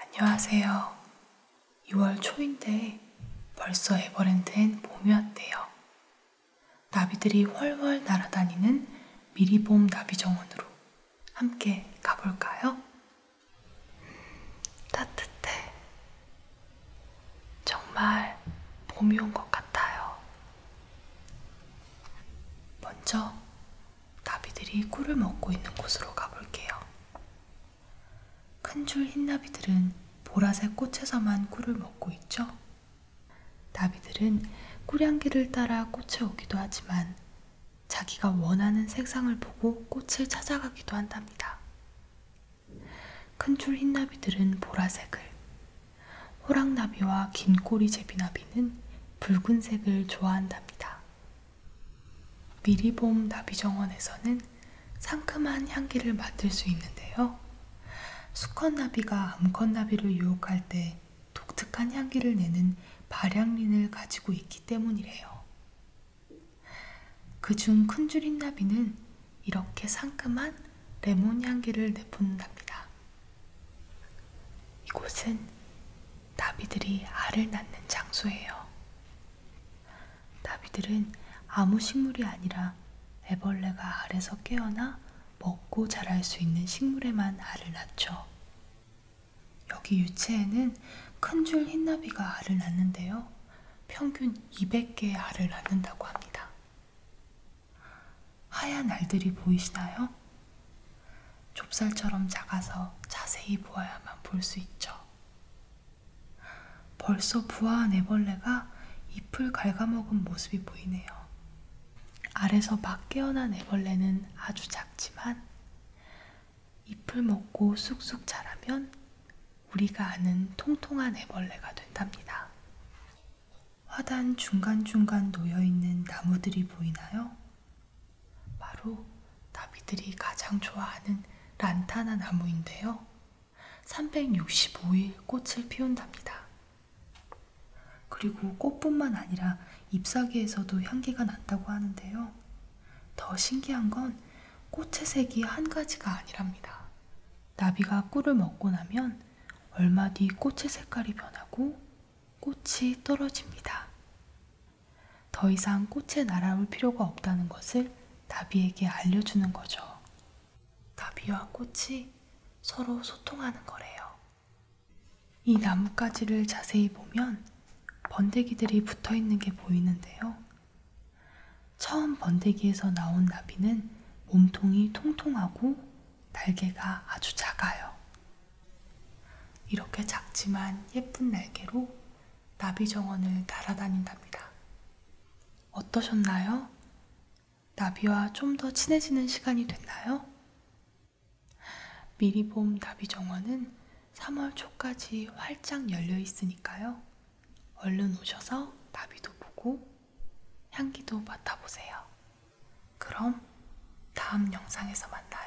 안녕하세요. 2월 초인데 벌써 에버랜드엔 봄이 왔대요. 나비들이 훨훨 날아다니는 미리봄 나비 정원으로 함께 가볼까요? 음, 따뜻해. 정말 봄이 온 것 같아요. 먼저 나비들이 꿀을 먹고 있는 곳으로 가볼게요. 큰 줄 흰 나비들은 보라색 꽃에서만 꿀을 먹고 있죠. 나비들은 꿀향기를 따라 꽃에 오기도 하지만 자기가 원하는 색상을 보고 꽃을 찾아가기도 한답니다. 큰 줄 흰 나비들은 보라색을, 호랑나비와 긴 꼬리 제비나비는 붉은색을 좋아한답니다. 미리봄 나비정원에서는 상큼한 향기를 맡을 수 있는데요. 수컷나비가 암컷나비를 유혹할 때 독특한 향기를 내는 발향린을 가지고 있기 때문이래요. 그 중 큰 줄임나비는 이렇게 상큼한 레몬 향기를 내뿜는답니다. 이곳은 나비들이 알을 낳는 장소예요. 나비들은 아무 식물이 아니라 애벌레가 알에서 깨어나 먹고 자랄 수 있는 식물에만 알을 낳죠. 여기 유채에는 큰줄 흰나비가 알을 낳는데요. 평균 200개의 알을 낳는다고 합니다. 하얀 알들이 보이시나요? 좁쌀처럼 작아서 자세히 보아야만 볼 수 있죠. 벌써 부화한 애벌레가 잎을 갉아먹은 모습이 보이네요. 알에서 막 깨어난 애벌레는 아주 작지만 잎을 먹고 쑥쑥 자라면 우리가 아는 통통한 애벌레가 된답니다. 화단 중간중간 놓여있는 나무들이 보이나요? 바로 나비들이 가장 좋아하는 란타나 나무인데요. 365일 꽃을 피운답니다. 그리고 꽃뿐만 아니라 잎사귀에서도 향기가 난다고 하는데요. 더 신기한 건 꽃의 색이 한 가지가 아니랍니다. 나비가 꿀을 먹고 나면 얼마 뒤 꽃의 색깔이 변하고 꽃이 떨어집니다. 더 이상 꽃에 날아올 필요가 없다는 것을 나비에게 알려주는 거죠. 나비와 꽃이 서로 소통하는 거래요. 이 나뭇가지를 자세히 보면 번데기들이 붙어 있는 게 보이는데요. 처음 번데기에서 나온 나비는 몸통이 통통하고 날개가 아주 작아요. 이렇게 작지만 예쁜 날개로 나비 정원을 날아다닌답니다. 어떠셨나요? 나비와 좀 더 친해지는 시간이 됐나요? 미리봄 나비 정원은 3월 초까지 활짝 열려 있으니까요. 얼른 오셔서 나비도 보고 향기도 맡아보세요. 그럼 다음 영상에서 만나요.